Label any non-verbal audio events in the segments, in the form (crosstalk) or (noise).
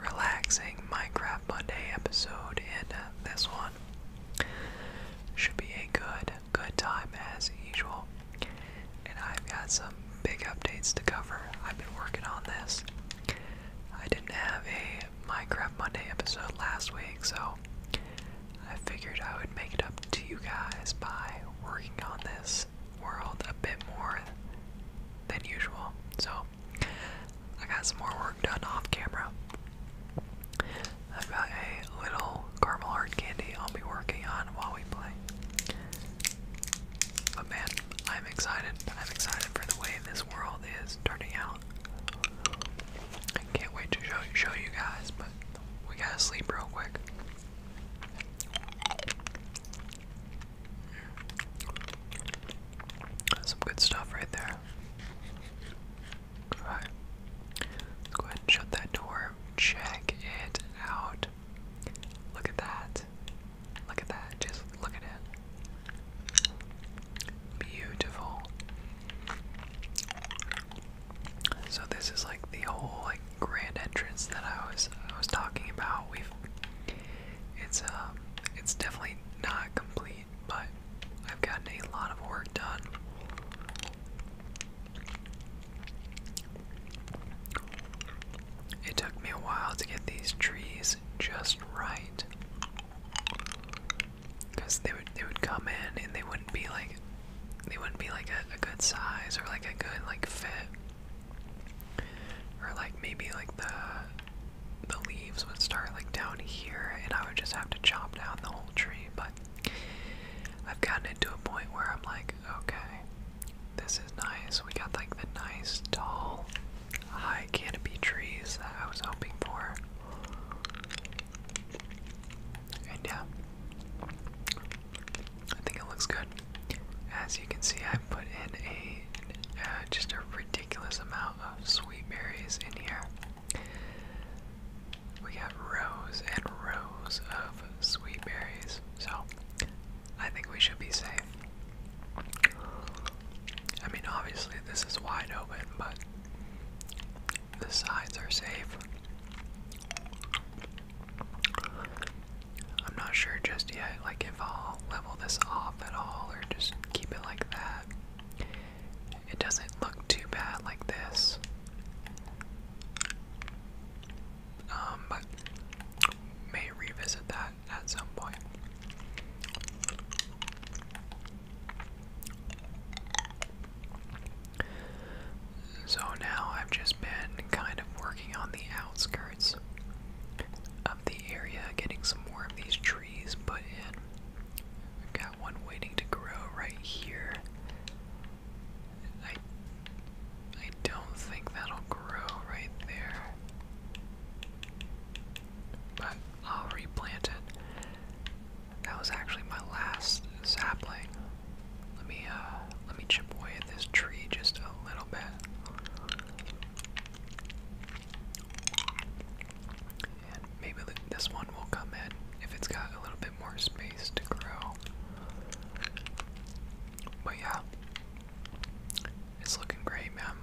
relaxing Minecraft Monday episode, and this one should be a good, good time as usual. And I've got some big updates to cover. I've been working on this. I didn't have a Minecraft Monday episode last week, so I figured I would make it up to you guys by working on this world a bit more than usual. So I got some more work done off camera. I've got a little caramel heart candy I'll be working on while we play. But man, I'm excited. I'm excited for the way this world is turning out. I can't wait to show you guys, but we gotta sleep real quick. Some good stuff right there. Alright. go ahead shut that door. Check it out. Look at that. Look at that. Just look at it. Beautiful. So this is like the whole like grand entrance that I was I was talking about. We've it's um it's definitely not complete, but I've gotten a lot of work done. It took me a while to get these trees just right. Because they would they would come in and they wouldn't be like they wouldn't be like a good size or like a good like fit. Or like maybe like the the leaves would start like down here and I would just have to chop down the whole tree, but I've gotten it a point where I'm like, okay, this is nice. We got like the nice tall high canopy trees that I was hoping for. And yeah. I think it looks good. As you can see, I put in a uh, just a ridiculous amount of sweet berries in here. We have rows and rows of sweet berries, so I think we should be safe. I mean, obviously, this is wide open, but the sides are safe. I'm not sure just yet, like if I'll level this off at all or just keep it like that. It doesn't look too bad like this. Um, but may revisit that at some point. So now I've just been kind of working on the outskirts of the area, getting some more of these trees put in. i got one waiting to grow right here. I I don't think that'll grow right there. But I'll replant it. That was actually my last sapling. Let me uh let me chip away at this tree just a little bit maybe this one will come in if it's got a little bit more space to grow. But yeah, it's looking great, man.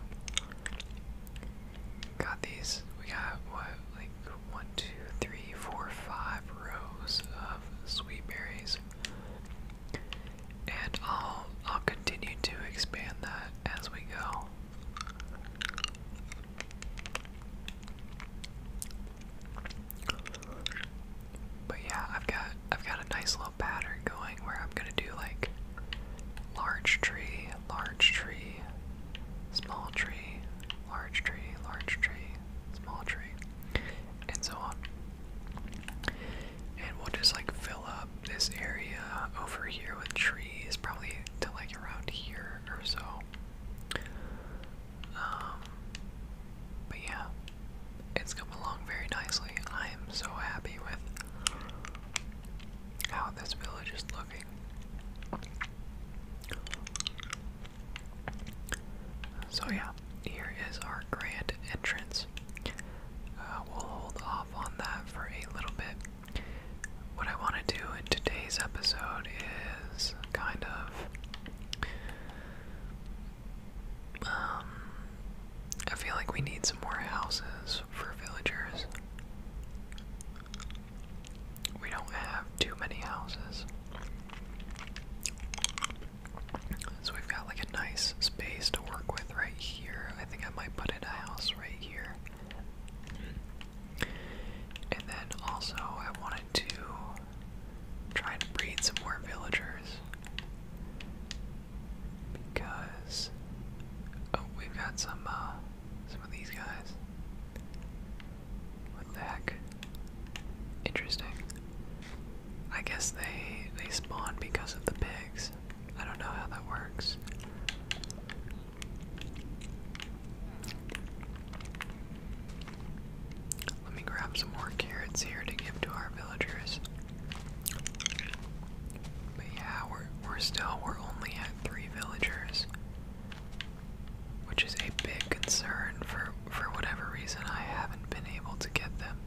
Got these, we got what, like one, two, three, four, five rows of sweet berries and I'll I'll continue to expand that as we go. But yeah, I've got I've got a nice little pattern going where I'm gonna do like large tree, large tree, small tree, large tree, large tree, small tree, and so on. And we'll just like fill up this area over here with trees, probably to like around here or so. Um, but yeah, it's come along very nicely. I am so happy with how this village is looking. So yeah, here is our grand entrance. Uh, we'll hold off on that for a little bit. What I want to do in today's episode is kind of. Um, I feel like we need some more houses for villagers. We don't have too many houses. So we've got like a nice space to work with right here. I think I might put in a house right here. And then also I wanted to try to breed some more villagers. Because oh, we've got some uh, some of these guys. What the heck? Interesting. I guess they they spawn because of the pigs. I don't know how that works. Let me grab some more carrots here to give to our villagers. But yeah, we're we're still we're only at three villagers. Which is a big concern for for whatever reason I haven't been able to get them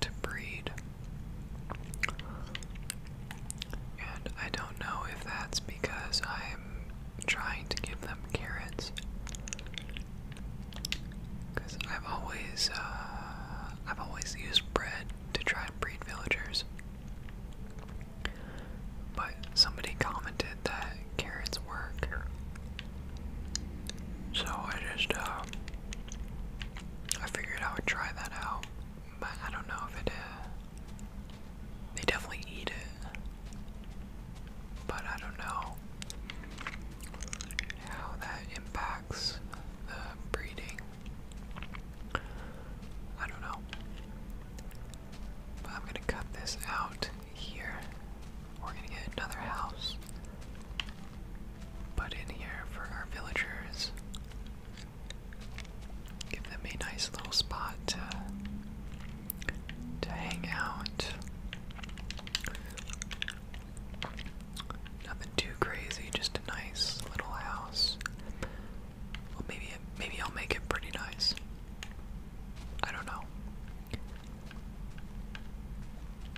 to breed. And I don't know if that's because I'm trying to give them carrots. Because I've always, uh, I've always used bread to try and breed villagers. But somebody commented that carrots work, so I just, uh, I figured I would try that out, but I don't know if it, uh, they definitely eat it, but I don't know how that impacts the breeding. I don't know. I'm gonna cut this out here. We're gonna get another house put in here for our villagers. Give them a nice little spot to, hang out. Nothing too crazy, just a nice little house. Well, maybe maybe I'll make it pretty nice. I don't know.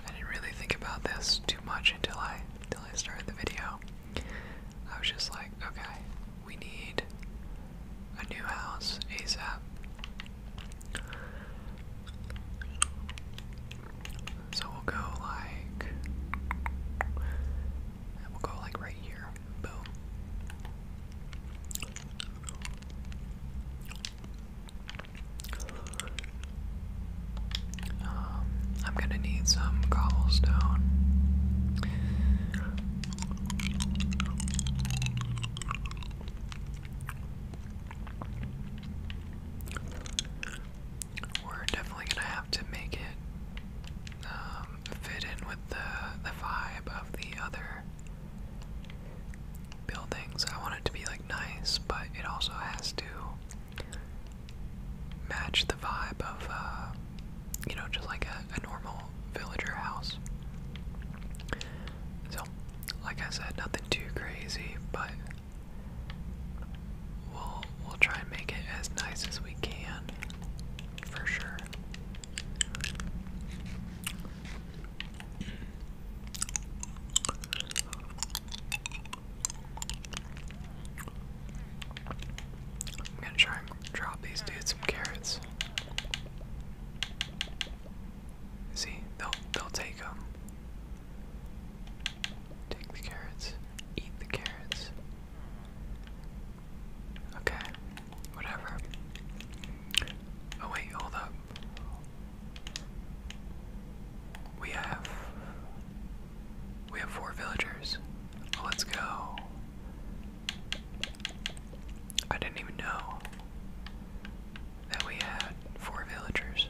I didn't really think about this too much until I until I started the video. I was just like, okay, we need a new house ASAP. So we'll go like we'll go like right here. Boom. Um, I'm gonna need some cobblestone. We're definitely gonna have to make it um, fit in with the the vibe of the other buildings. I want it to be like nice, but it also has to match the vibe of, uh, you know, just like a, a normal villager house. So, like I said, nothing too crazy, but we'll we'll try and make it as nice as we can, for sure. I'm gonna try and drop these dudes some carrots. See, they'll they'll take them. Take the carrots. Eat the carrots. Okay, whatever. Oh wait, hold up. We have we have four villagers. Let's go. I didn't even know that we had four villagers.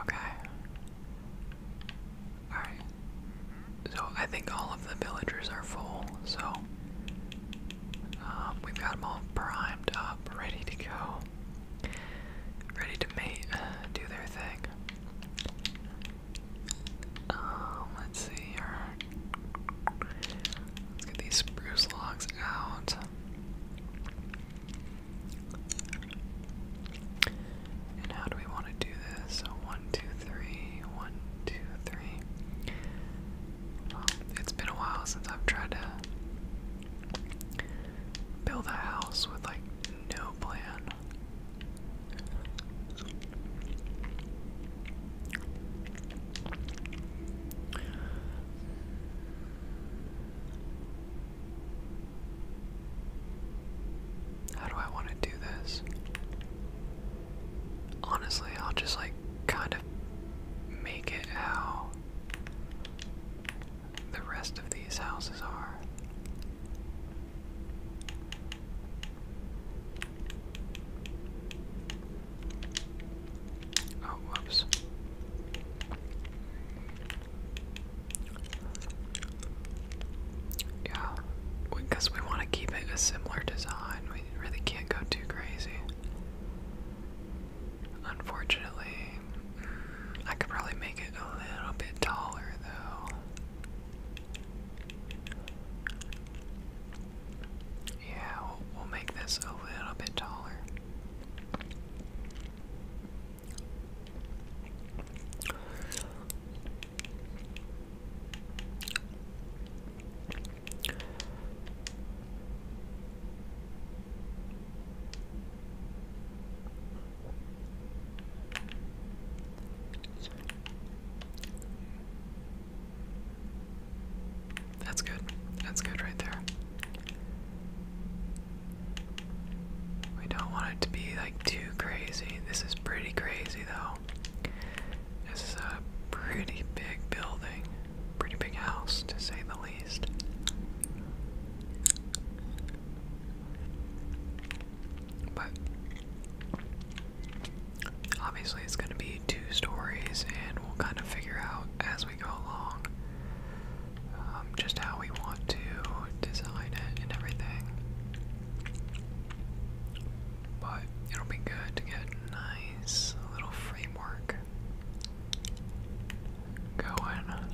Okay. Alright. So I think all of the villagers are full, so um, we've got them all primed up, ready to go, ready to mate, do their thing. Um, let's see here. Let's get these spruce logs out. And how do we want to do this? So one, two, three, one, two, three it's been a while since I've tried to build a house with like no plan. How do I want to do this? Honestly, I'll just like kind of make it how the rest of these houses are. Oh, whoops. Yeah, because we want to keep it a similar design really can't go too crazy. Unfortunately, mm, I could probably make it a little bit taller though. Yeah, we'll, make this a little bit taller. That's good. That's good right there. We don't want it to be like too crazy. This is pretty crazy though. This is a pretty big building, pretty big house to say the least. But obviously, it's going to be two stories, and we'll kind of figure out as we go along um, just how we want to design it and everything. But it'll be good to get a nice little framework going.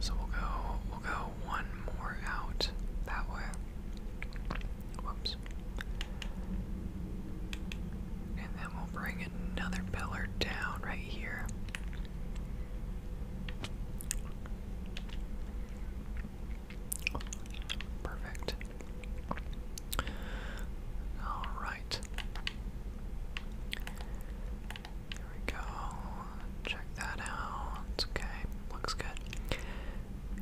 So we'll go we'll go one more out that way. Whoops. And then we'll bring another pillar down right here. Perfect. All right. There we go. Check that out. okay. Looks good.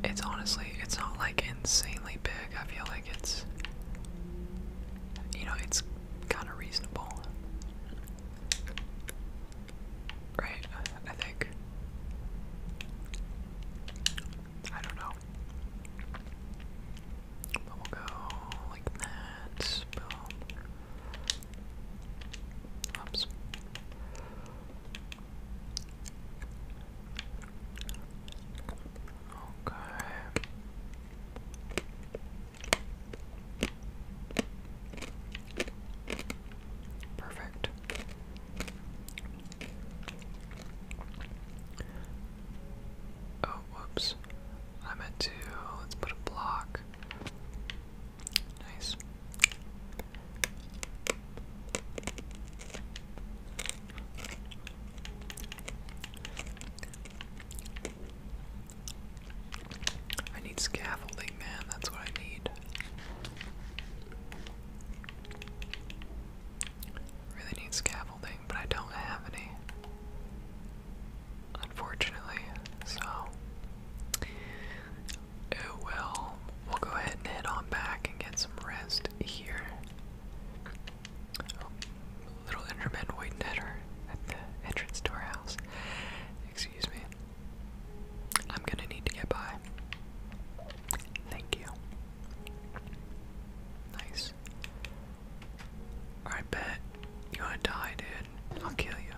It's honestly, it's not like insanely big. I feel like it's, you know, it's kind of reasonable. Right, I think. I don't know. we'll go like that. Boom. Oops. Okay. Perfect. Oh, whoops. I meant to. Let's put a block. Nice. I need scaffolding, man. That's what I need. Really need scaffolding, but I don't have any. Unfortunately, so. Oh well. We'll go ahead and head on back and get some rest here. little Enderman waiting at, her, at the entrance to our house. Excuse me. I'm gonna need to get by. Thank you. Nice. Alright, bet. You wanna die, dude? I'll kill you.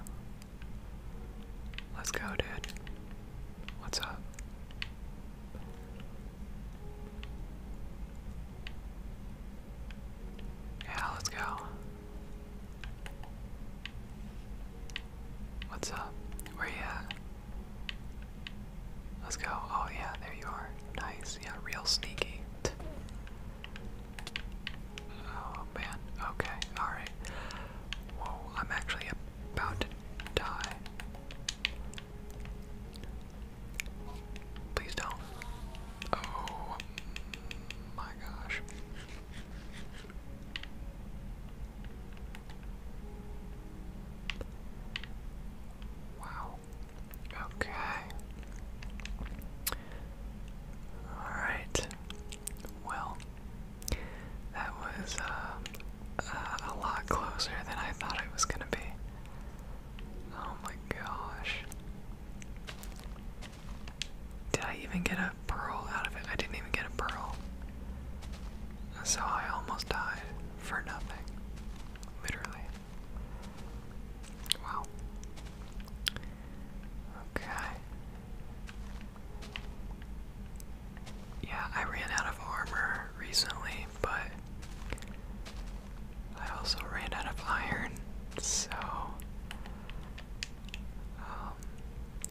Let's go, dude. What's up? Yeah, let's go. What's up? Where you at? Let's go. Oh yeah, there you are. Nice. Yeah, real sneaky. Oh man. Okay. All right. Whoa, I'm actually about to die. Please don't. Oh my gosh. Wow. Okay. All right. Well, that was uh, uh, a lot closer than I thought it was gonna be. Oh my gosh. Did I even get a pearl out of it? I didn't even get a pearl. So I almost died for nothing. Literally. Wow. Okay. Yeah, I ran out of armor recently, but I also ran out of iron, so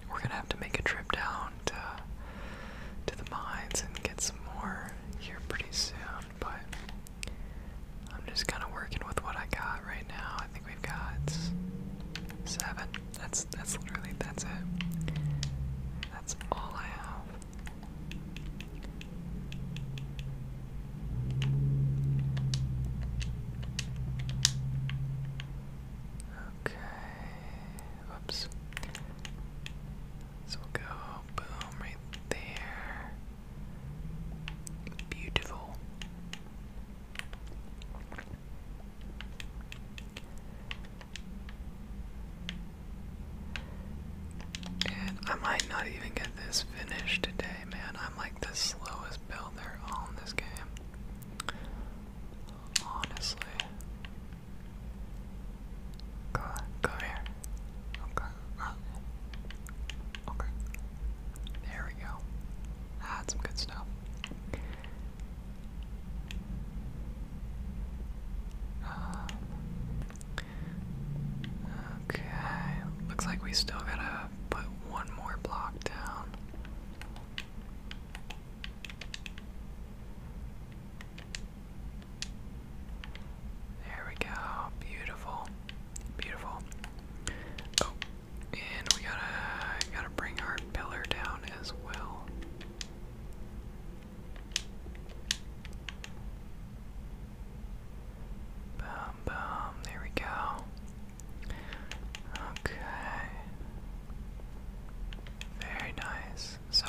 we're gonna have to make a trip down to to the mines and get some more here pretty soon. But I'm just kind of working with what I got right now. I think we've got seven. That's that's literally that's it. That's all I have. Okay. Oops. So we'll go boom right there. Beautiful. And I might not even get this finished today, man. I'm like the slowest builder on this game. Honestly. Go, go here. Okay. Uh, okay. There we go. That's some good stuff. Um, okay. Looks like we still gotta put one more block down. There we go. Beautiful. Beautiful. Oh, and we gotta gotta bring our pillar down as well. Boom, boom. There we go. Okay. Very nice. So,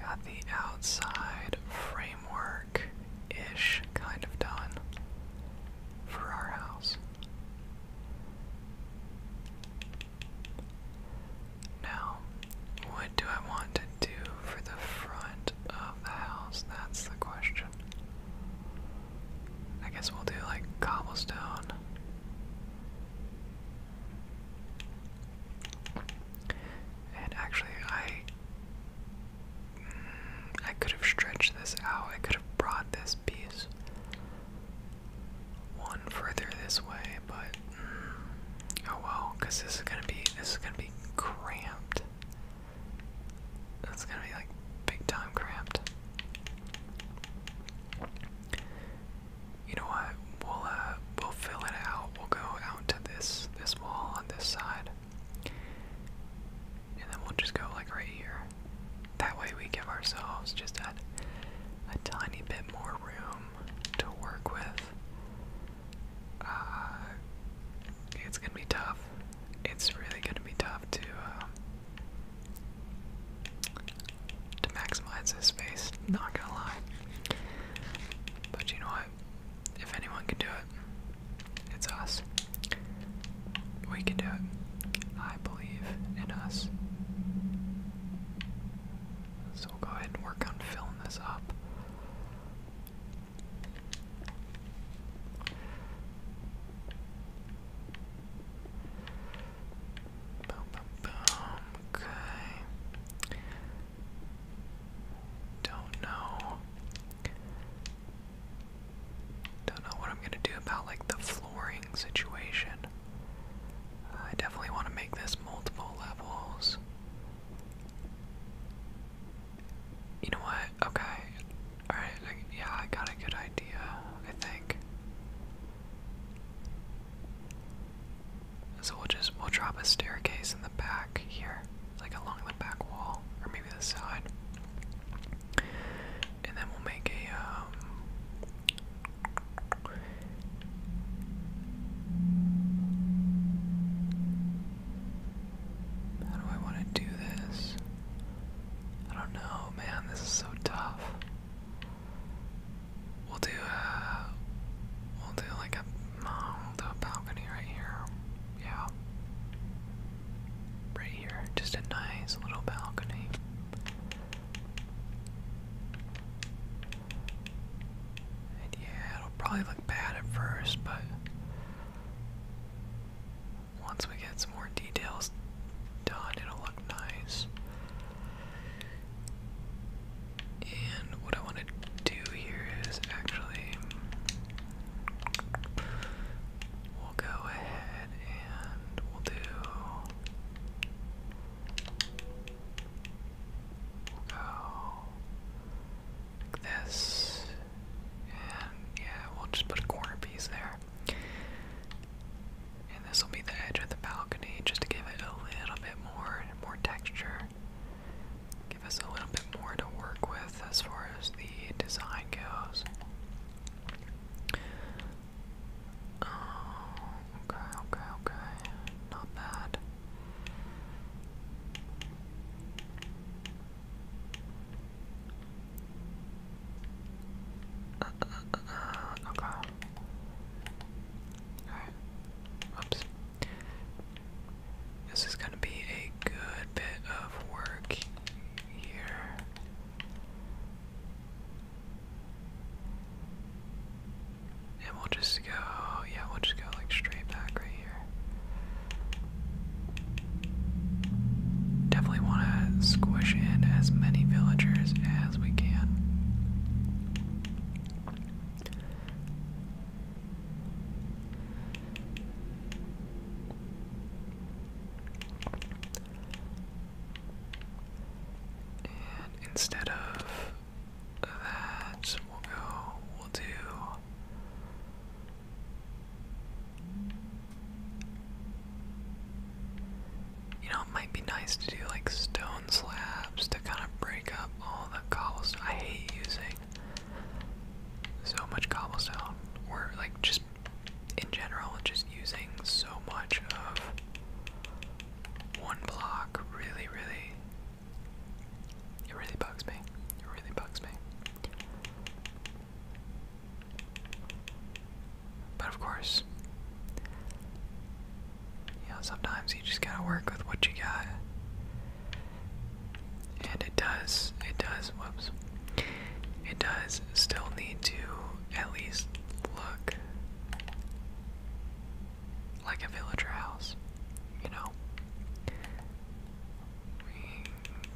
got the outside framework ish kind of done for our house. Now, what do I want to do for the front of the house? That's the question. I guess we'll do like cobblestone. And actually, I mm, I could have stretched this out. I could have brought this piece one further this way, but mm, oh well, this is gonna be this is gonna be cramped. That's gonna be like big time cramped. You know what? We'll uh we'll fill it out. We'll go out to this this wall on this side. And then we'll just go like right here. That way we give ourselves just that a tiny bit more room to work with. Uh, it's gonna be tough it's really going to be tough to um, to maximize this space. Not gonna lie, but you know what? If anyone can do it, it's us. We can do it. I believe in us. So we'll go ahead and work on filling this up. Boom, Okay. Don't know. Don't know what I'm gonna do about like the flooring situation. I definitely want to make this multiple levels. You know what? Okay. Alright, yeah, I got a good idea, I think. So we'll just, we'll drop a staircase in the back here, like along the back wall, or maybe the side. And then we'll make a, um, how do I want to do this? I don't know, man. This is so tough. We'll do a, uh, we'll do like a, we'll do a balcony right here. Yeah. Right here, just a nice little balcony. And yeah, it'll probably look bad at first, but once we get some more details done, it'll look nice. And what I want to do here is actually, we'll go ahead and we'll do, we'll go this. And yeah, we'll just put a corner piece there. And this will be the edge of the balcony just to give it a little bit more more texture. Give us a little bit more to work with as far as the design goes. Oh, okay, okay, okay. Not bad okay. Oops. This is gonna be a good bit of work here. And we'll just yeah, we'll just go like straight back right here. Definitely want to squish in as many villagers as we can. instead of that, we'll go, we'll do you know, it might be nice to do like stone slabs to kind of break up all the cobblestone. I hate using so much cobblestone, or like just in general, just using so much of one block really, really it really bugs me. It really bugs me. But of course, you know, sometimes you just gotta work with what you got. And it does, it does, whoops. It does still need to at least look like a villager house, you know. We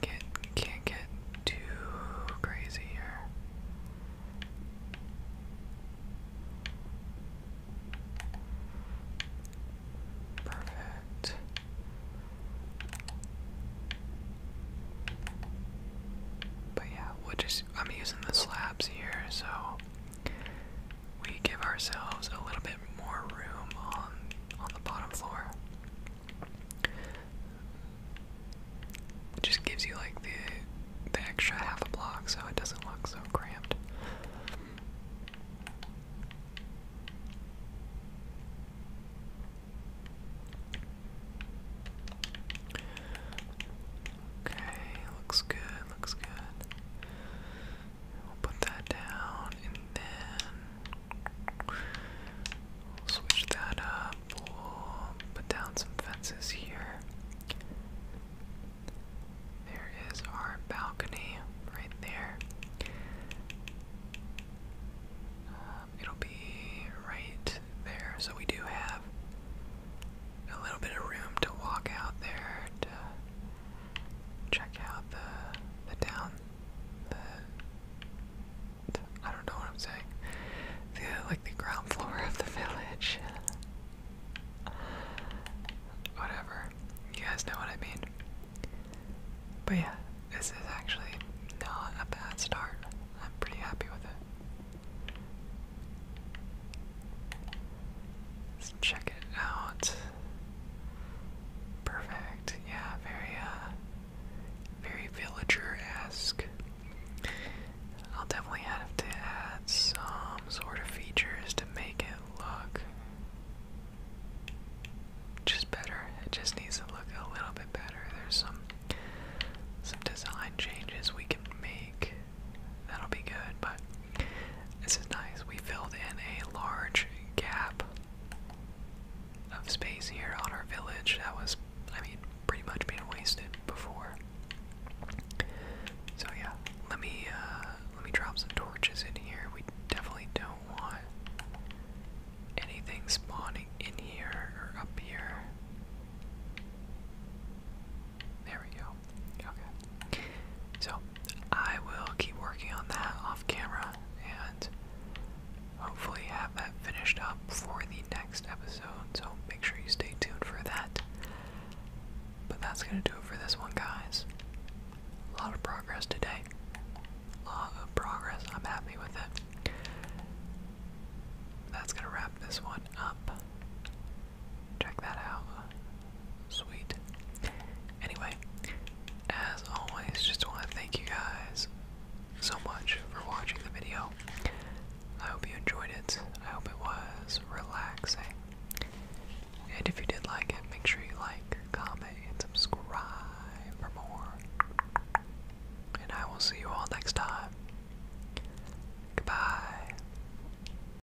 get, can't get too crazy here. Perfect. But yeah, we'll just I'm using the slabs here, so we give ourselves a little bit more room on on the bottom floor. It just gives you like the the extra half a block so it doesn't look so cramped. Okay, looks good, looks good. We'll put that down and then we'll switch that up. We'll put down some fences here. There is our balcony right there. Um, it'll be right there, so we do have a little bit of room to walk out there to check out the the down the, I don't know what I'm saying. The like the ground floor of the village. (laughs) Whatever. You guys know what I mean. But yeah, this is actually not a bad start. I'm pretty happy with it. Let's check it out. Perfect. Yeah, very uh very villager-esque. I'll definitely have to add some sort of features to make it look just better. It just needs to look a little bit better. There's some some design changes we can make. That'll be good, but this is nice. We filled in a large gap of space here on our village that was, I mean, pretty much being wasted before. So yeah, let me uh, let me drop some torches in here. We definitely don't want anything spawning in here or up here. There we go. Okay. So I will keep working on that off camera and hopefully have that finished up for the next episode. So make sure you stay tuned for that. But that's going to do it for this one, guys. A lot of progress today. A of progress. I'm happy with it. That's going to wrap this one up. Check that out. Sweet. Anyway, as always, just want to thank you guys so much for watching the video. I hope you enjoyed it. I hope it was relaxing. And if you did like it, make sure you like, comment, and subscribe for more. And I will see you all next time. Goodbye.